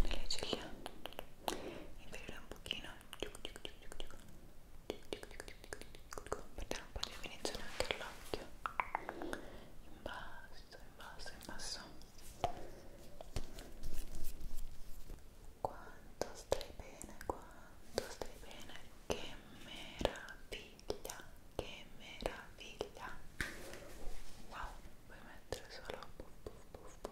nelle ciglia inferiore un pochino per dare un po' di definizione anche all'occhio in basso, in basso, in basso quanto stai bene, quanto stai bene che meraviglia, che meraviglia wow, puoi mettere solo puff puff puff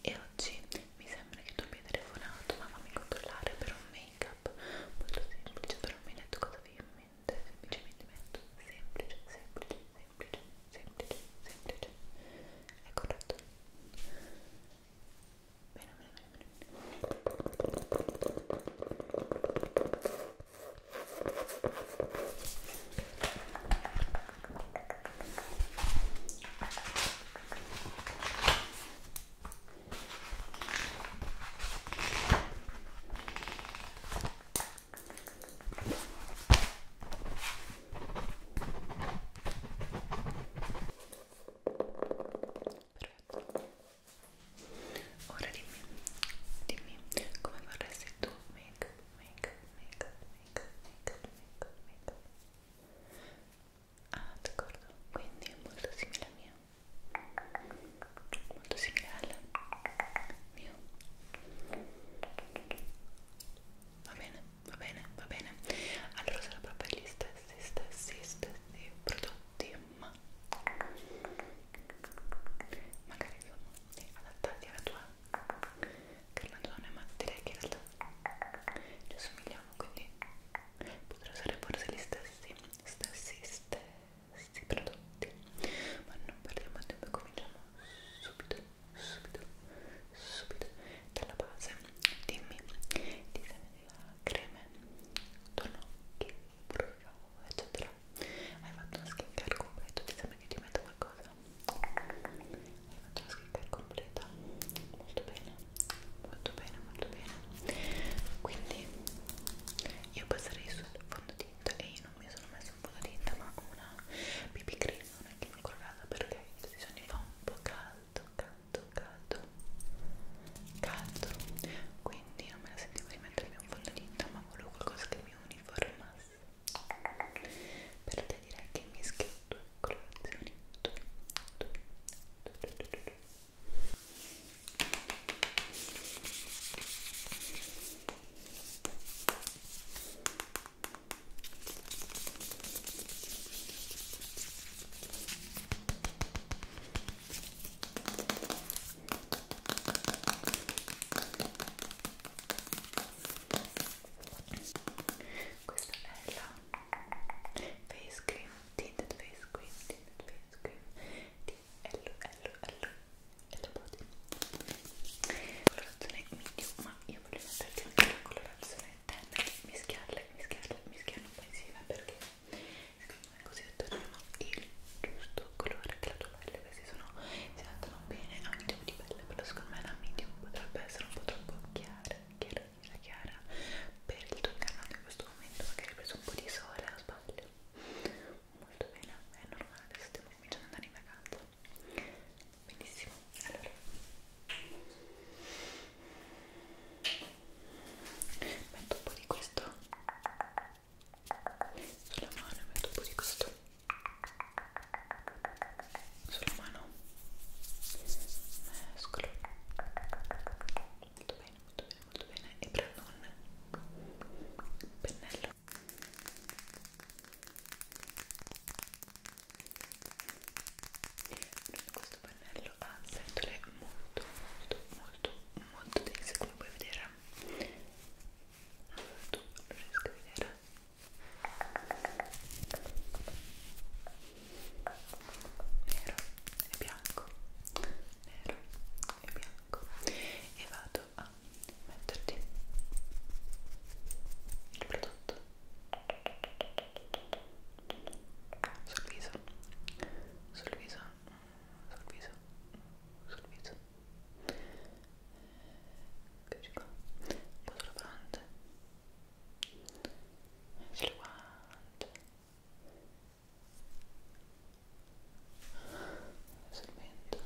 e oggi mi sembra che tu abbia telefonato ma fammi controllare per un make up molto semplice però mi hai detto cosa avevi in mente semplicemente mi hai detto semplice, semplice, semplice, semplice, semplice è corretto? bene, bene, bene, bene Ora dimmi, dimmi come é vorresti tu make, make, make, make make make make ah d'accordo quindi è molto simile al mio molto simile al mio va bene va bene va bene allora sarà proprio gli stessi stessi stessi prodotti ma magari sono adattati alla tua carlandone ma direi che in realtà ci assomigliamo quindi potrei usare forse gli stessi stessi stessi prodotti ma non perdiamo tempo e cominciamo subito subito subito dalla base dimmi ti serve la crema tonocchi, bruciavo eccetera hai fatto una skin care completo ti sembra che ti metta qualcosa? faccio la scritta è completa molto bene molto bene molto bene quindi io passerei sul fondotinta e io non mi sono messa un fondotinta ma una BB cream non è che mi colgata perché questi giorni fa un po' caldo caldo caldo caldo quindi non me la sentivo di mettermi un fondotinta ma volevo qualcosa che mi uniformasse però ti direi che mischia due colorazioni due, due, due, due, due, due. Ecco questa è la face cream tinted face cream tinted face cream di Hello Hello Hello Hello Body colorazione medium ma io voglio metterti anche la colorazione tenue mischiarle mischiarle mischiarle un po' insieme perché secondo me così otterremo il giusto colore della tua pelle questi sono, si adattano bene a un tipo di pelle però secondo me la medium potrebbe essere un po' troppo chiara chiara, chiara, chiara per il tuo incarnato in questo momento magari hai preso un po' di sole a spalle molto bene, è normale adesso stiamo cominciando ad andare in vacanza benissimo, allora metto un po' di questo sulla mano metto un po' di questo sulla mano mescolo molto bene, molto bene, molto bene e prendo un pennello questo pennello ha ah, setole molto molto molto molto dense come puoi vedere non riesco a vedere nero e bianco nero e bianco e vado a metterti il prodotto sul viso sul viso sul viso sul viso eccoci qua un po' sulla fronte sulle guante sul mento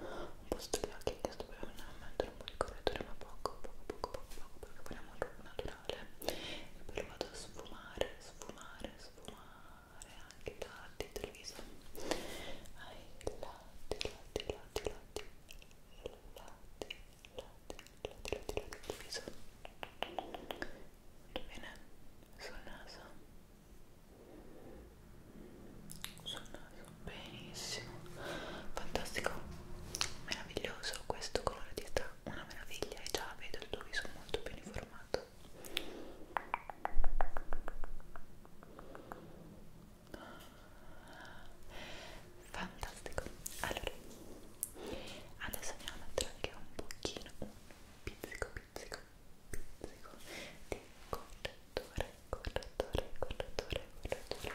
un po' sugli occhi anche se dobbiamo mettere un po' di correttore ma poco poco poco poco poco perché vogliamo un po' naturale e poi lo vado a sfumare sfumare sfumare anche tardi il viso ai lati, lati, lati, lati lati, lati, lati, lati, lati del viso molto bene sul naso sul naso, benissimo fantastico, meraviglioso questo colore ti sta una meraviglia e già vedo il tuo viso molto ben informato fantastico allora adesso andiamo a mettere anche un pochino un pizzico pizzico pizzico di correttore correttore correttore correttore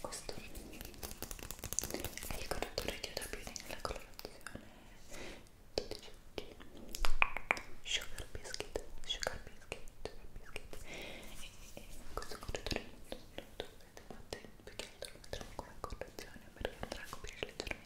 questo è il correttore che aiuta più nella colorazione 12 sugar biscuit sugar biscuit sugar biscuit e, e questo correttore non lo dovete fare perché lo metterò come correzione perché andrà a coprire leggermente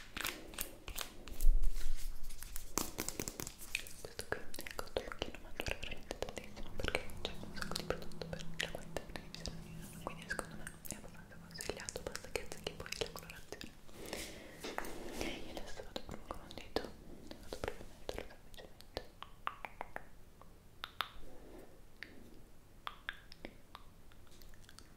questo qui è cotto pochino ma dura veramente tantissimo perché c'è un sacco di prodotto per la qualità dell'insalina quindi secondo me è abbastanza consigliato basta che azzecchi poi la colorazione e io adesso vado proprio con un dito vado proprio a metterlo semplicemente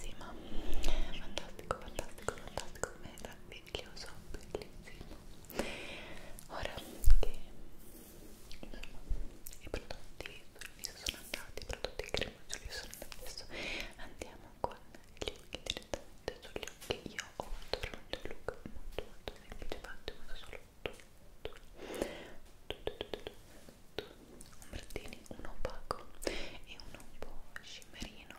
sì, ma fantastico, fantastico, fantastico, meraviglioso, bellissimo. Ora che insomma, i prodotti sul viso sono andati, i prodotti cremosi sul viso sono andati, adesso andiamo con gli occhi direttamente sugli occhi. Io ho fatto veramente un look molto molto semplice, fatto uso solo tu, tu, tu, tu, tu, tu, tu, tu, un brattini, un opaco e uno un po' scimmerino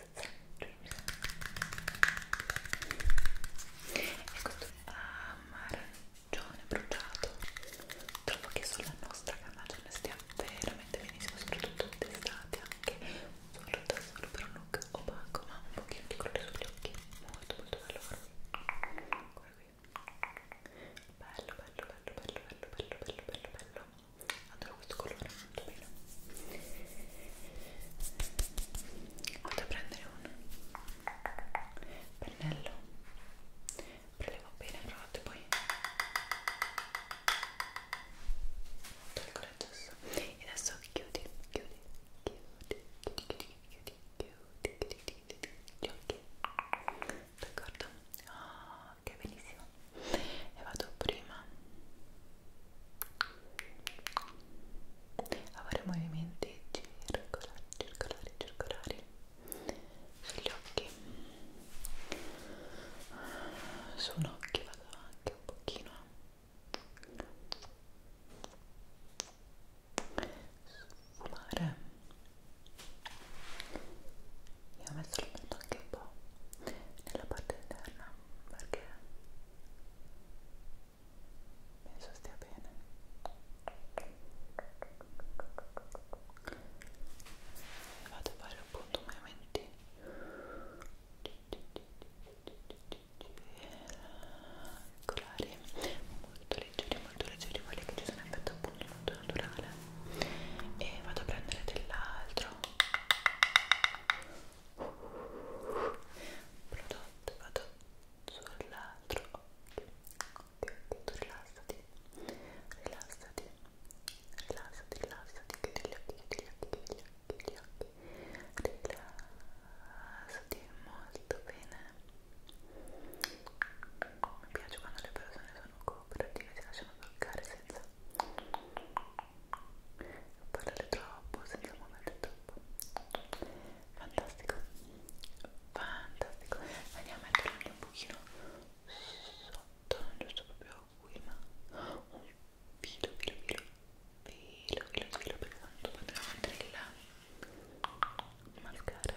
e questo ecco arancione bruciato trovo che sulla nostra carnagione stia veramente benissimo soprattutto d'estate anche un solo da solo per un look opaco ma un pochino di colore sugli occhi molto molto bello guarda qui bello bello bello bello bello bello bello bello bello adoro questo colore molto bello vado a prendere un pennello prelevo bene provate poi tolgo l'aggesso e adesso chiudi chiudi chiudi chiudi chiudi chiudi chiudi chiudi chiudi chiudi chiudi d'accordo? Oh, anche bellissimo e vado prima a fare movimenti circolari circolari circolari sugli occhi su un occhio vado anche un pochino sfumare io ho messo il punto anche un po' nella parte interna perché penso stia bene vado a fare appunto movimenti circolari molto leggeri molto leggeri quelli che ci sono in effetto appunto molto naturale e vado a prendere dell'altro prodotto vado sull'altro occhio ok, ok, rilassati rilassati rilassati, rilassati chiudi gli occhi, chiudi gli occhi, chiudi gli occhi, chiudi gli occhi rilassati molto bene mi piace quando le persone sono sono cooperative, si lasciano toccare senza parlare troppo, senza muoverti troppo. Fantastico, fantastico. Andiamo a metterlo anche un pochino sotto, non giusto proprio qui, ma un filo, filo, filo, filo, filo, filo, perché tanto potremmo mettere il mascara.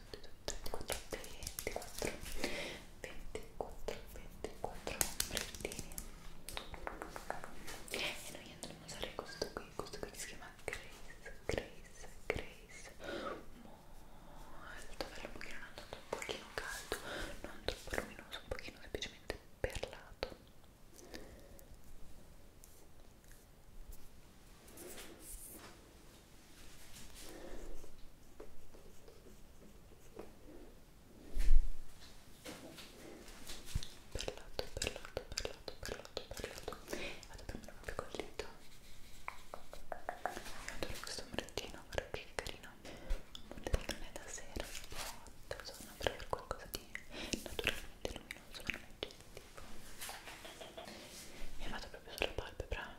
24, 24, 24, 24 ombrettini e noi andremo a usare questo qui, questo qui che si chiama Grace, Grace, Grace molto bello che non è andato un pochino caldo, non troppo luminoso, un pochino semplicemente perlato perlato, perlato, perlato, perlato, perlato vado a prendere proprio col dito adoro questo ombrettino, guarda che carino non è da sera, boh, sono per qualcosa di naturalmente luminoso, non è genetico e vado proprio sulla palpebra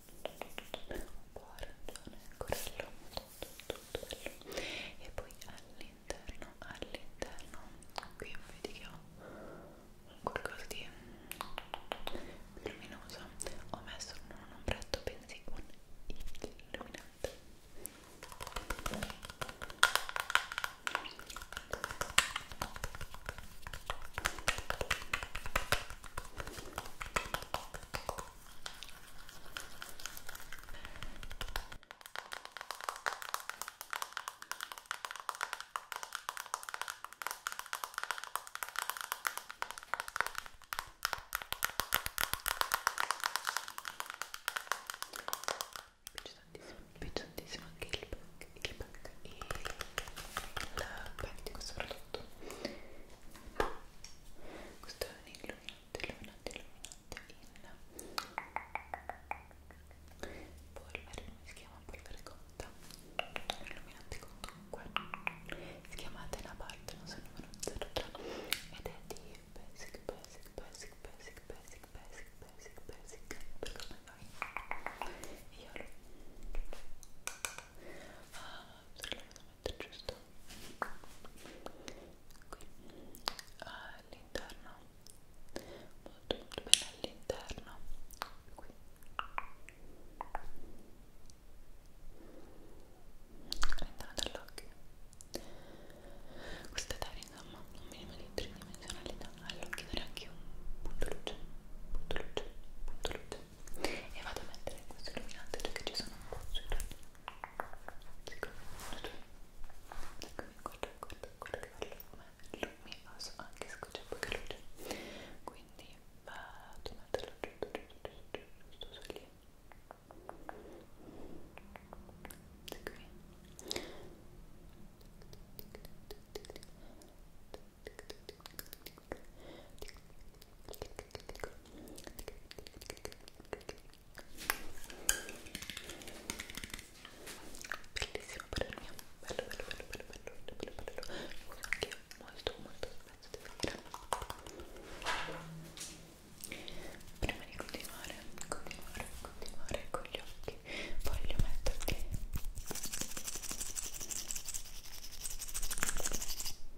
un po' arancione, corallo, tutto, tutto bello e poi all'interno, all'interno qui vedi che ho qualcosa di più luminoso ho messo non un ombretto, bensì un illuminante ok mi piace tantissimo, mi piace tantissimo anche il pack, il pack e la pack di questo prodotto questo è un illuminante illuminante illuminante in polvere come si chiama polvere conta un illuminante comunque si chiama Tenapart non so il numero 03 ed è di basic basic basic basic basic basic basic basic per come noi io lo ah, esattamente giusto qui all'interno molto molto bene all'interno qui all'interno dell'occhio questa dare insomma un minimo di tridimensionalità all'occhio dare anche un punto luce punto luce punto luce e vado a mettere questo illuminante perché ci sono un po' sui tuoi eccomi, guarda, guarda, guarda che bello è luminoso, anche se c'è poca luce quindi vado a metterlo giù, giù, giù, giù, giù, giù, lì eccomi bellissimo per il mio bello bello bello bello bello bello bello bello uso anche io molto molto spesso devo dire prima di continuare continuare continuare con gli occhi voglio metterti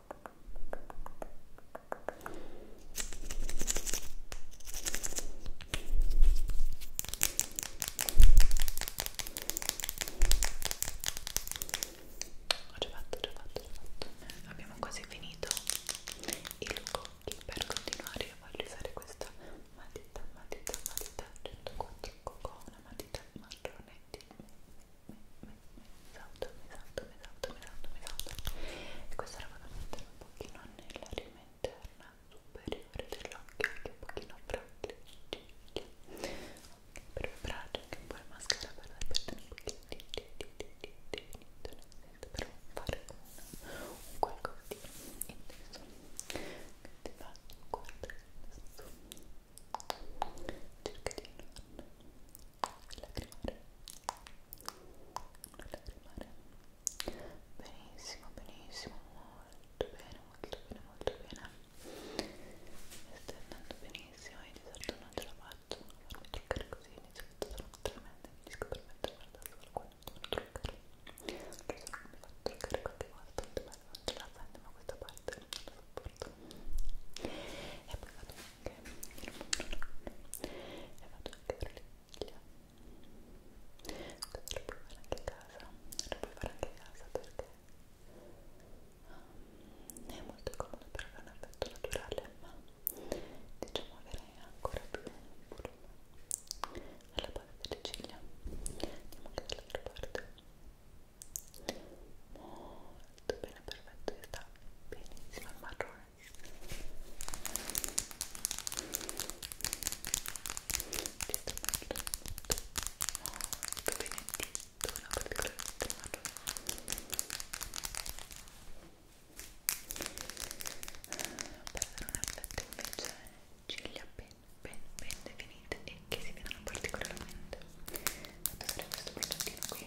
ho già fatto, ho già fatto, ho fatto. Abbiamo quasi finito i lucocchi. Per continuare io voglio usare questa matita, matita, matita 104 cocò, una matita marrone di esauto, esauto, esauto, esauto e questa la vado a mettere un pochino nell'aria interna superiore dell'occhio anche un pochino fra le ciglia per vibrare anche un po' la maschera per perdere un pochino di definizione per fare un qualcosa di intenso che ti faccio guardare cerca di non lacrimare non lacrimare benissimo, benissimo molto bene, molto bene, molto bene mi stai andando benissimo e di solito non ce la faccio a farmi truccare così di solito sono tremenda mi riesco a permettere di guardare solo quando sono truccare lo so che mi faccio truccare qualche volta non ce la sento ma questa parte non la sopporto e poi vado e vado a chiudere le ciglia questo lo puoi fare anche a casa lo puoi fare anche a casa perché um, è molto comodo per avere un effetto naturale ma diciamo avere ancora più volume alla base delle ciglia andiamo anche dall'altra parte molto molto bene, perfetto, e sta benissimo il marrone ci sta molto, molto benedetto, una particolarmente marrone per dare un effetto invece ciglia ben, ben, ben definite e che si vedono particolarmente vado a usare questo progettino qui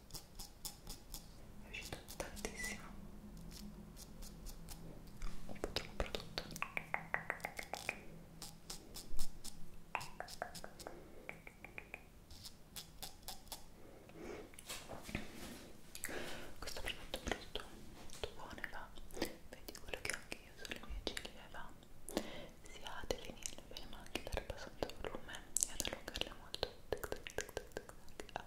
è uscito tantissimo un potrò prodotto questo prodotto è un prodotto molto buono e va vedi quello che anche io sulle mie ciglia e va sia a delinearle bene ma anche dare abbastanza volume e ad allungarle molto tic tic tic tic tic tic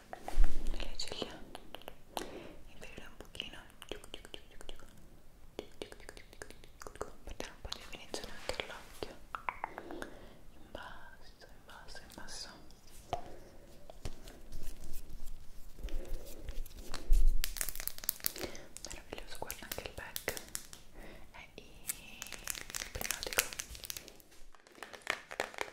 nelle ciglia inferiore un pochino per dare un po' di definizione anche all'occhio in basso, in basso, in basso meraviglioso, guarda anche il back è ipnotico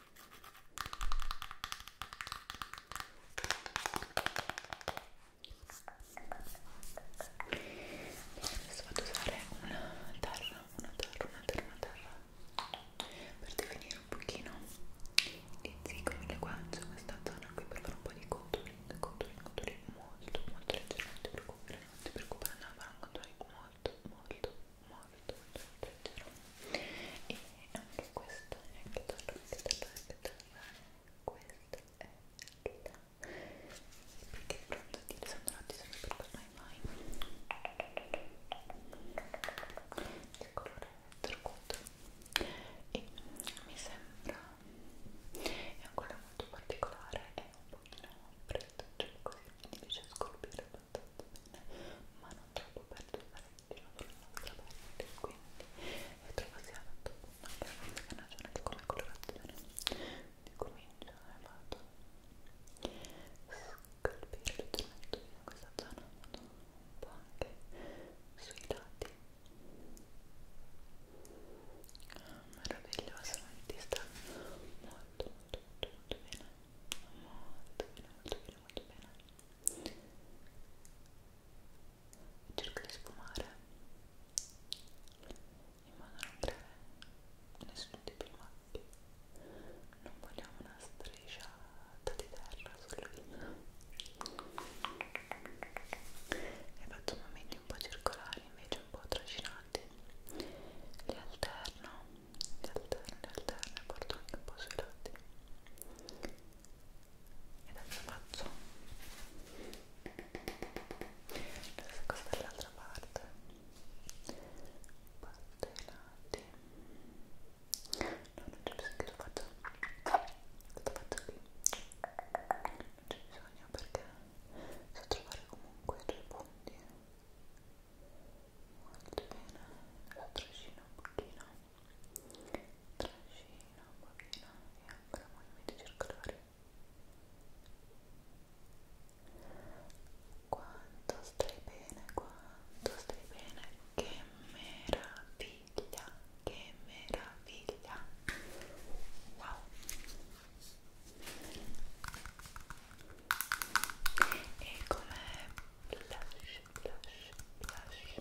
Adesso vado a usare una terra, una terra, una terra, una terra per definire un pochino di zico mi guance questa zona qui per fare un po' di contouring, contouring, contouring molto molto leggero, non ti preoccupare, non ti preoccupare, andare a fare un contouring molto molto molto molto leggero e anche questo è anche tarlo, anche tarlo, anche tarlo questo è la perché pronto di Alessandro Rotti sono per ormai mai il colore turquoise e mi sembra è un colore molto particolare è un pochino freddo cioè così mi riesce a scolpire abbastanza bene ma troppo per usare il dino dall'altra parte quindi io trovo sia tanto una perfetta ragione di come colorazione quindi comincio e vado a scalpire leggermente in questa zona vado un po' anche sui lati ah, meraviglioso ti sta molto molto molto molto bene molto bene molto bene molto bene cerco di sfumare in modo da non creare nessun tipo di macchie non vogliamo una strisciata di terra sulla vita e faccio momenti un po' circolari invece un po' trascinati li alterno le alterne, le alterne, porto anche un po' sui lati e adesso faccio la stessa cosa dall'altra parte porto i lati no, non c'è bisogno che lo faccio lo faccio qui non c'è bisogno perché so trovare comunque i due punti molto bene lo trascino un pochino trascino un pochino e ancora movimenti circolari quanto stai bene quanto stai bene che meraviglia che meraviglia wow e come blush blush, blush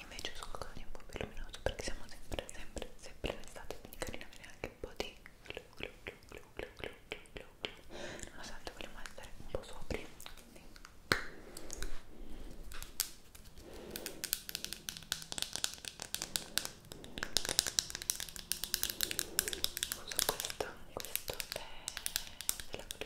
invece sono così un po' più luminoso perché siamo sempre, sempre, sempre in estate quindi carina avere anche un po' di glu glu glu glu glu glu glu glu glu nonostante vogliamo essere un po' sopri quindi uso questo, questo è della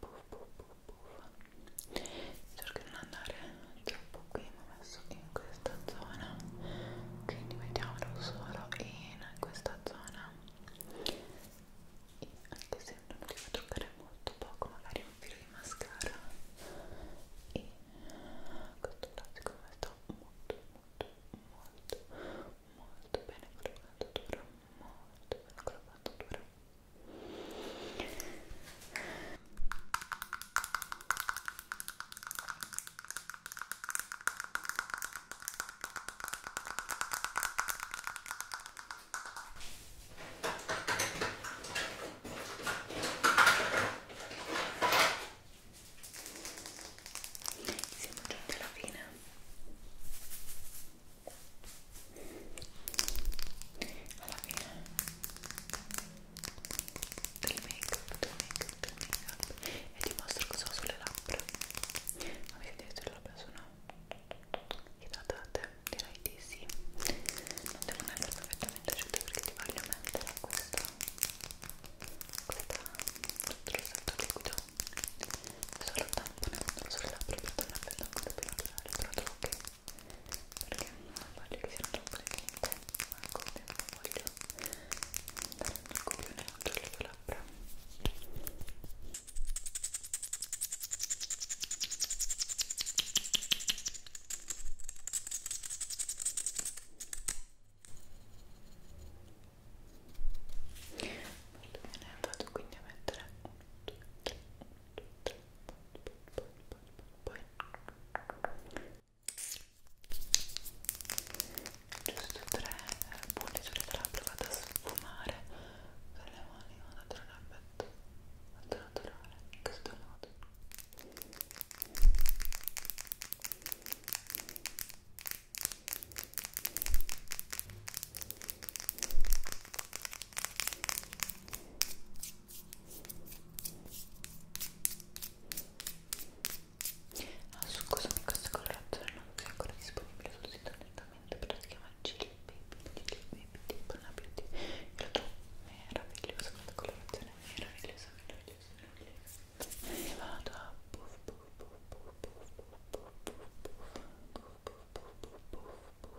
puff, puff, puff, puff. cerco di non andare troppo qui mi ho messo in questa zona quindi mettiamolo solo in questa zona e anche se non devo toccare molto poco magari un filo di mascara e questo lato siccome sto molto molto molto molto bene con la dura molto bene con la dura siamo giunti alla fine alla fine del make up, del make up, del make up e ti mostro cosa ho sulle labbra mi vedete le labbra sono idratate? direi di sì non devono essere perfettamente asciutte perché ti voglio mettere questa questo rossetto liquido solo tamponandolo sulle labbra per dare un effetto ancora più naturale però trovo che perché non voglio che siano troppo definite ma al contempo voglio dare un copione anche alle tue labbra Molto bene, vado quindi a mettere 1, 2, 3, 1, 2, 3, poi, giusto tre bolliture dell'abbra vado a sfumare con le mani un altro rabbetto molto naturale in questo modo Ecco Ah, scusami, questa colorazione non è ancora disponibile sul sito direttamente, però si chiama Chili Baby, Chili Baby Deep Beauty. Io la trovo meravigliosa, questa colorazione è meravigliosa, meravigliosa, meravigliosa. E vado a puff puff puff puff puff puff puff puff puff puff puff puff puff puff puff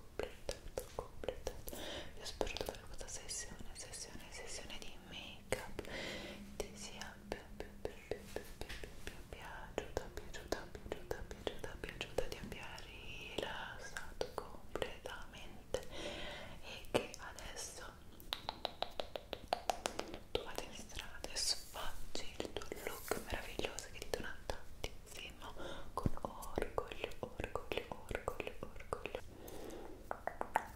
completato, completato. Io spero dopo questa sessione, sessione, sessione di make up ti sia più, più, più, più, più, più, più, più piaciuta, piaciuta, piaciuta, piaciuta, piaciuta, ti abbia rilassato completamente e che adesso tu vada in strada e sfoggi il tuo look meraviglioso che ti dona tanti film con orgoglio, orgoglio, orgoglio, orgoglio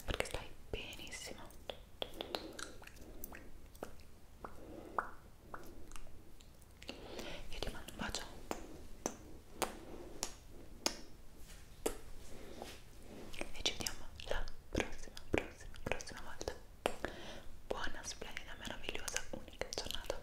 perché stai benissimo io ti mando un bacio e ci vediamo la prossima, prossima, prossima volta buona, splendida, meravigliosa, unica giornata